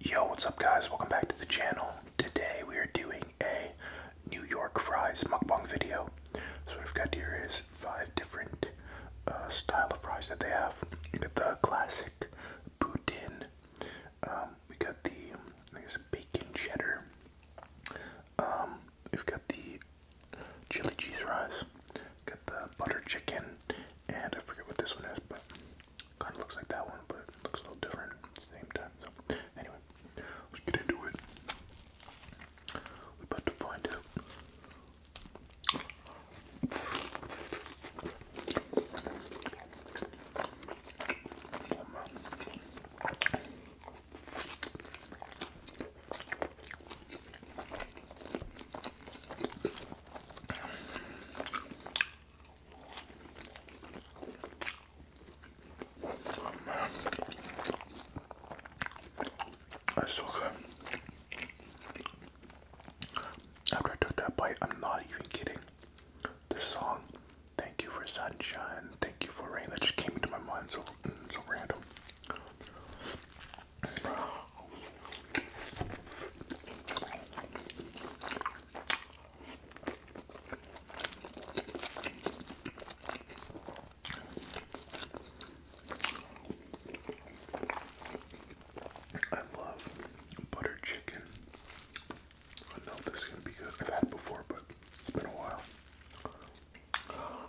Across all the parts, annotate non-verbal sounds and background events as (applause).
Yo, what's up guys? Welcome back to the channel. Today we are doing a New York fries mukbang video. So what I've got here is five different uh, style of fries that they have. You got the classic poutine. Um, we got the, I think it's bacon cheddar. Um, we've got the chili cheese fries. Got the butter chicken, and I forget what this one is, but Kind of looks like that one, but it looks a little different at the same time. So, anyway, let's get into it. We're about to that's so good. After I took that bite, I'm not even kidding. The song, Thank You for Sunshine, Thank You for Rain, that just came into my mind so, mm, so random. I love butter chicken. I don't know if this is gonna be good. I've had before, but it's been a while. Oh,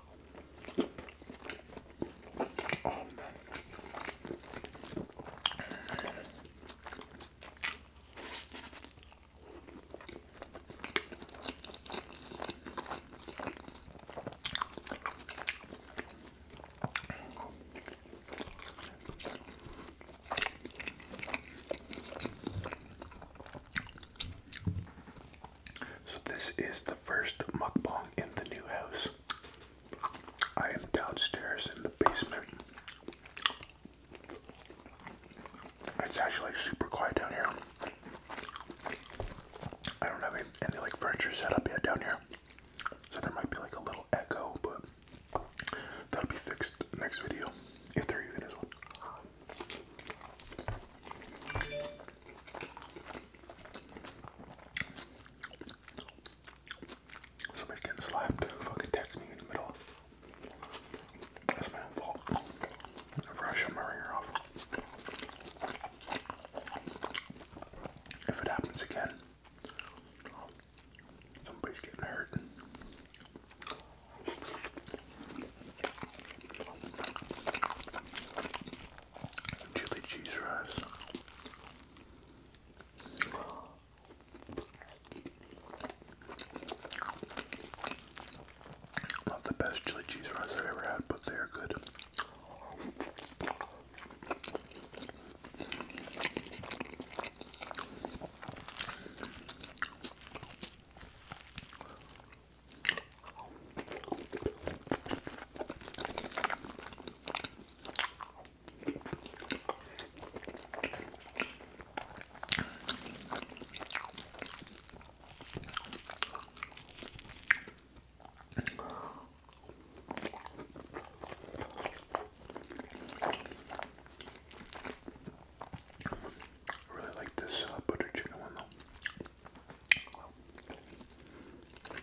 so, this is the first mukbang in the new house. I am downstairs in the basement. It's actually super quiet down here. I don't have any, like furniture set up yet down here. So there might be like a little echo, but that'll be fixed next video if there even is one. Somebody's getting slapped. Fucking text me in the middle. That's my own fault. Never I shut my ringer off. If it happens again, somebody's getting hurt. Chili cheese fries. Not the best chili cheese fries I've ever had, but they are good. I really like this uh, butter chicken one though. What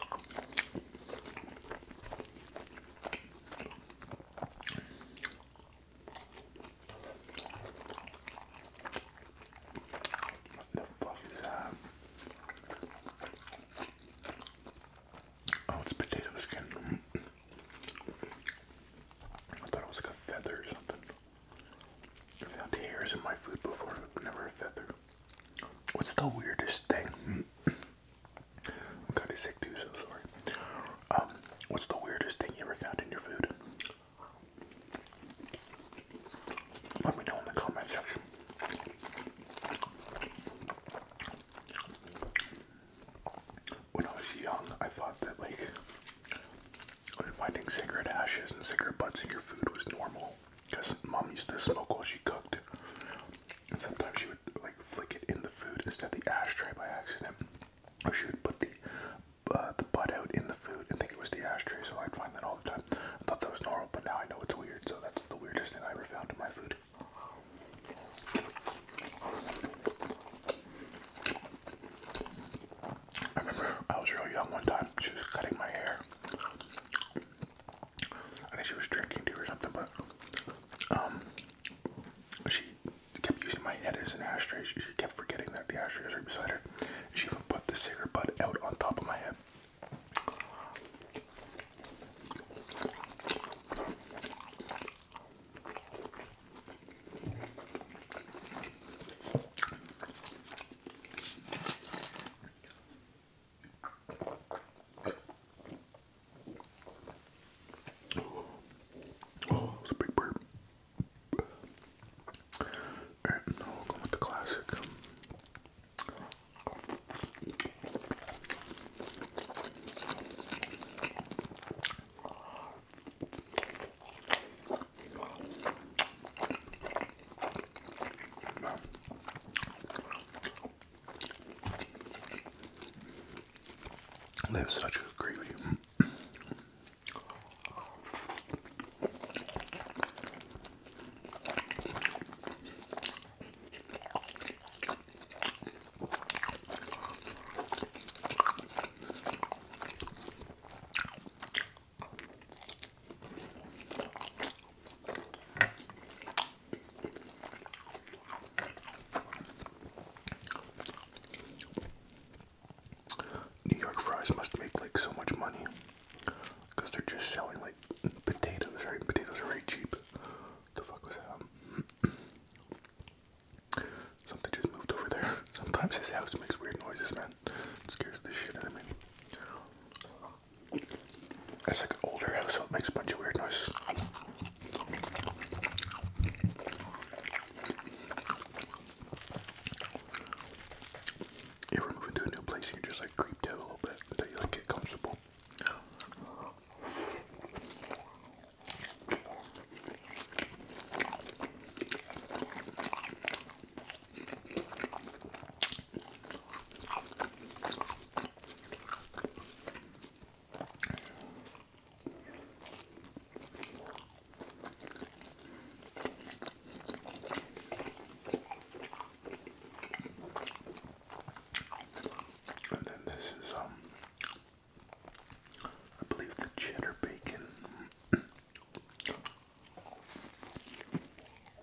the fuck is that? Oh, it's potato skin. I thought it was like a feather or something. found hairs in my food before, but never a feather. What's the weirdest thing I'm kind of sick too, so sorry. Um, what's the weirdest thing you ever found in your food? Let me know in the comment section. When I was young, I thought that like finding cigarette ashes and cigarette butts in your food was normal. Because mom used to smoke while she cooked. And sometimes she would like flick it in the food instead of the ashtray by accident. Or she would put the uh, the butt out in the food and think it was the ashtray, so I'd find that all the time. I thought that was normal, but now I know it's weird, so that's the weirdest thing I ever found in my food. I remember I was real young one time, she was cutting my hair. I think she was drinking too or something, but um, she kept using my head as an ashtray. She kept forgetting that the ashtray was right beside her. She even put the cigarette butt out on top of my head. Oh, it's a big burp. And now we'll go with the classic. That's such a gravy. New York fries must make like so much money they're just selling like potatoes, right? Potatoes are very cheap. The fuck was that? (clears throat) Something just moved over there. (laughs) Sometimes this house makes weird noises, man. It scares the shit out of me. That's like an older house, so it makes a bunch of weird noises. If we're moving a new place, you can just like creep out a little bit until you like get comfortable. And then this is um I believe the cheddar bacon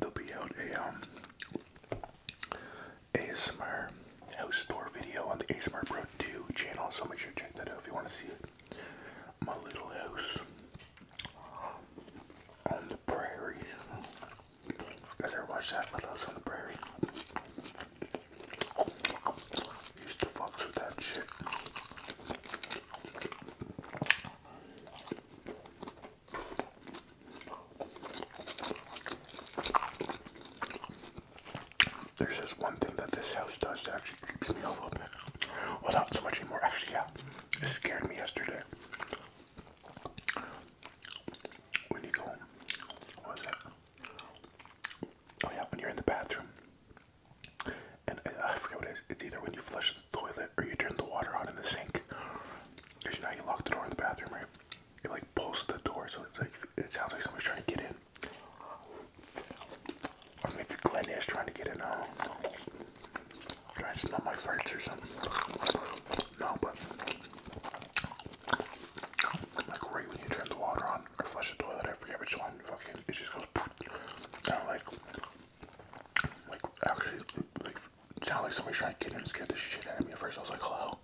They'll be out a um, ASMR house tour video on the ASMR Pro 2 channel, so make sure to check that out if you want to see it. My little house on the prairie. Better watch that Little House on the Prairie? Used to fucks with that shit. There's just one thing that this house does that actually creeps me out a little bit. Without so much anymore. Actually, yeah, it scared me yesterday. When you go, what was it? Oh yeah, when you're in the bathroom, and I forget what it is. It's either when you flush the toilet or you turn the water on in the sink because you you lock the door in the bathroom right it like pulls the door so it's like it sounds like someone's trying to get in or maybe Glenn is trying to get in I trying to smell my farts or something no but like right when you turn the water on or flush the toilet I forget which fucking it just goes (laughs) and like like actually like Sounds like somebody tried to get in and scared the shit out of me at first. I was like, hello.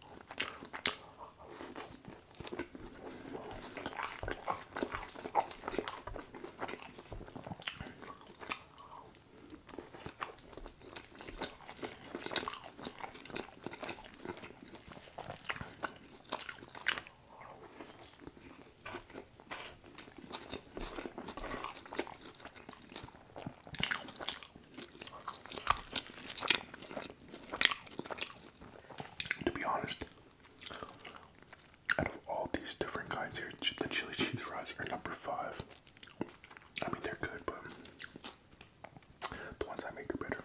To be honest, out of all these different kinds here, the chili cheese fries are number five. I mean, they're good, but the ones I make are better.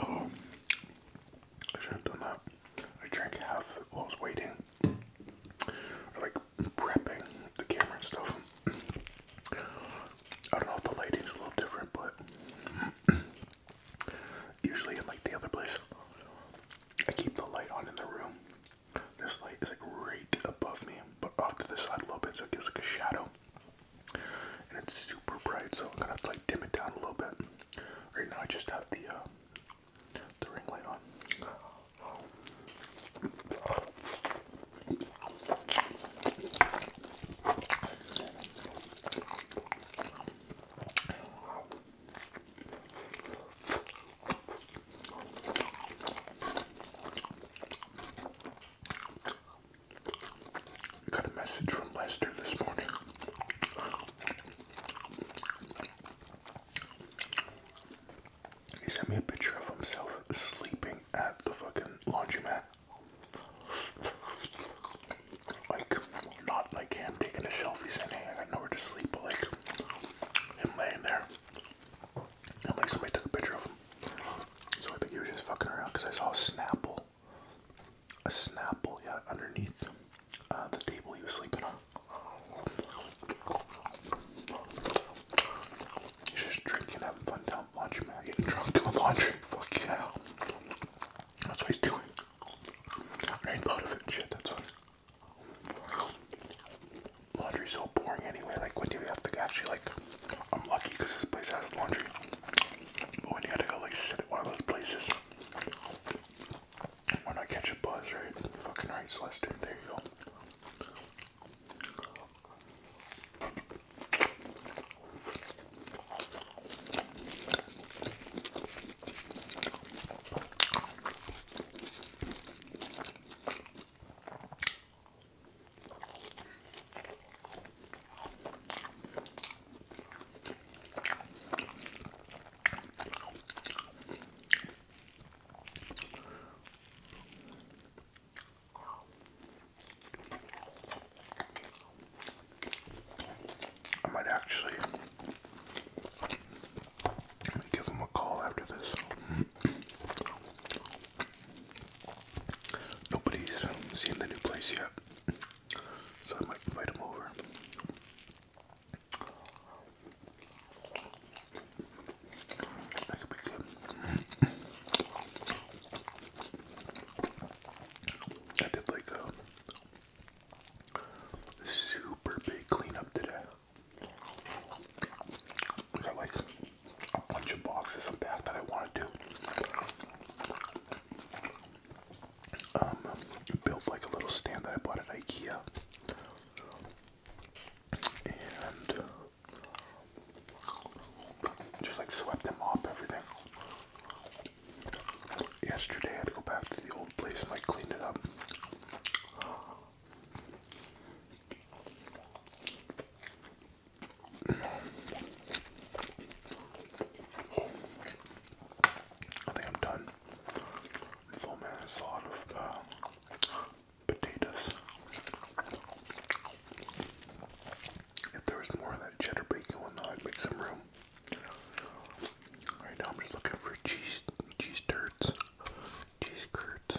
Oh, I should have done that. I drank half while I was waiting like prepping the camera and stuff. I don't know if the lighting's a little different, but usually in like the other place, I keep the light on in the room. This light is like right above me, but off to the side a little bit, so it gives like a shadow. And it's super bright, so I'm gonna have to like dim it down a little bit. Right now, I just have the uh, the Got a message from Lester this morning. He sent me a picture of himself sleeping at the fucking laundromat. Like, not like him taking a selfie saying, I got nowhere to sleep, but like him laying there. And like somebody took a picture of him. So I think he was just fucking around because I saw Snapple. A Snapple, yeah, underneath uh, the table he was sleeping on. Just drinking, having fun down laundry, man. Getting drunk doing laundry. Fuck yeah. That's what he's doing. I ain't thought of it. Shit, that's what. Laundry's so boring anyway. Like, when do you have to actually, like, I'm lucky because this place has laundry. But when you had to go, like, sit at one of those places when I catch a buzz, right? Fucking right, Celestine, there you go. I might actually give him a call after this. (clears throat) Nobody's seen the new place yet, so I might invite them over. I did like um, a super big cleanup today. got like a bunch of boxes unpacked that I wanted to um, built like a little stand that I bought at IKEA, and uh, just like swept them up, everything. Yesterday, I had to go back to the old place and like clean it up. I think I'm done. So man, it's a lot of eh, potatoes. If there was more of that cheddar bacon one, I'd make some room. Right now, I'm just looking for cheese, cheese turds, cheese curds.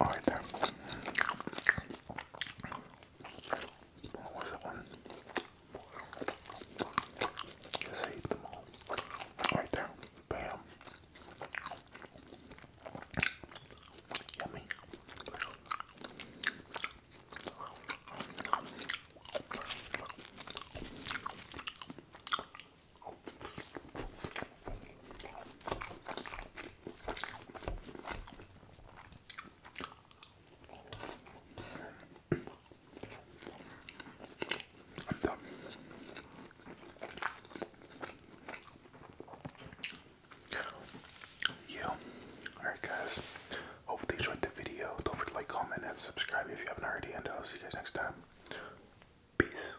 All right, there. What was that one? Just ate them all. Right there. Bam. Yummy. I'm done. Yeah. Alright guys. Hopefully enjoyed the video. Don't forget to like, comment, and subscribe if you haven't already, and I'll see you guys next time. Peace.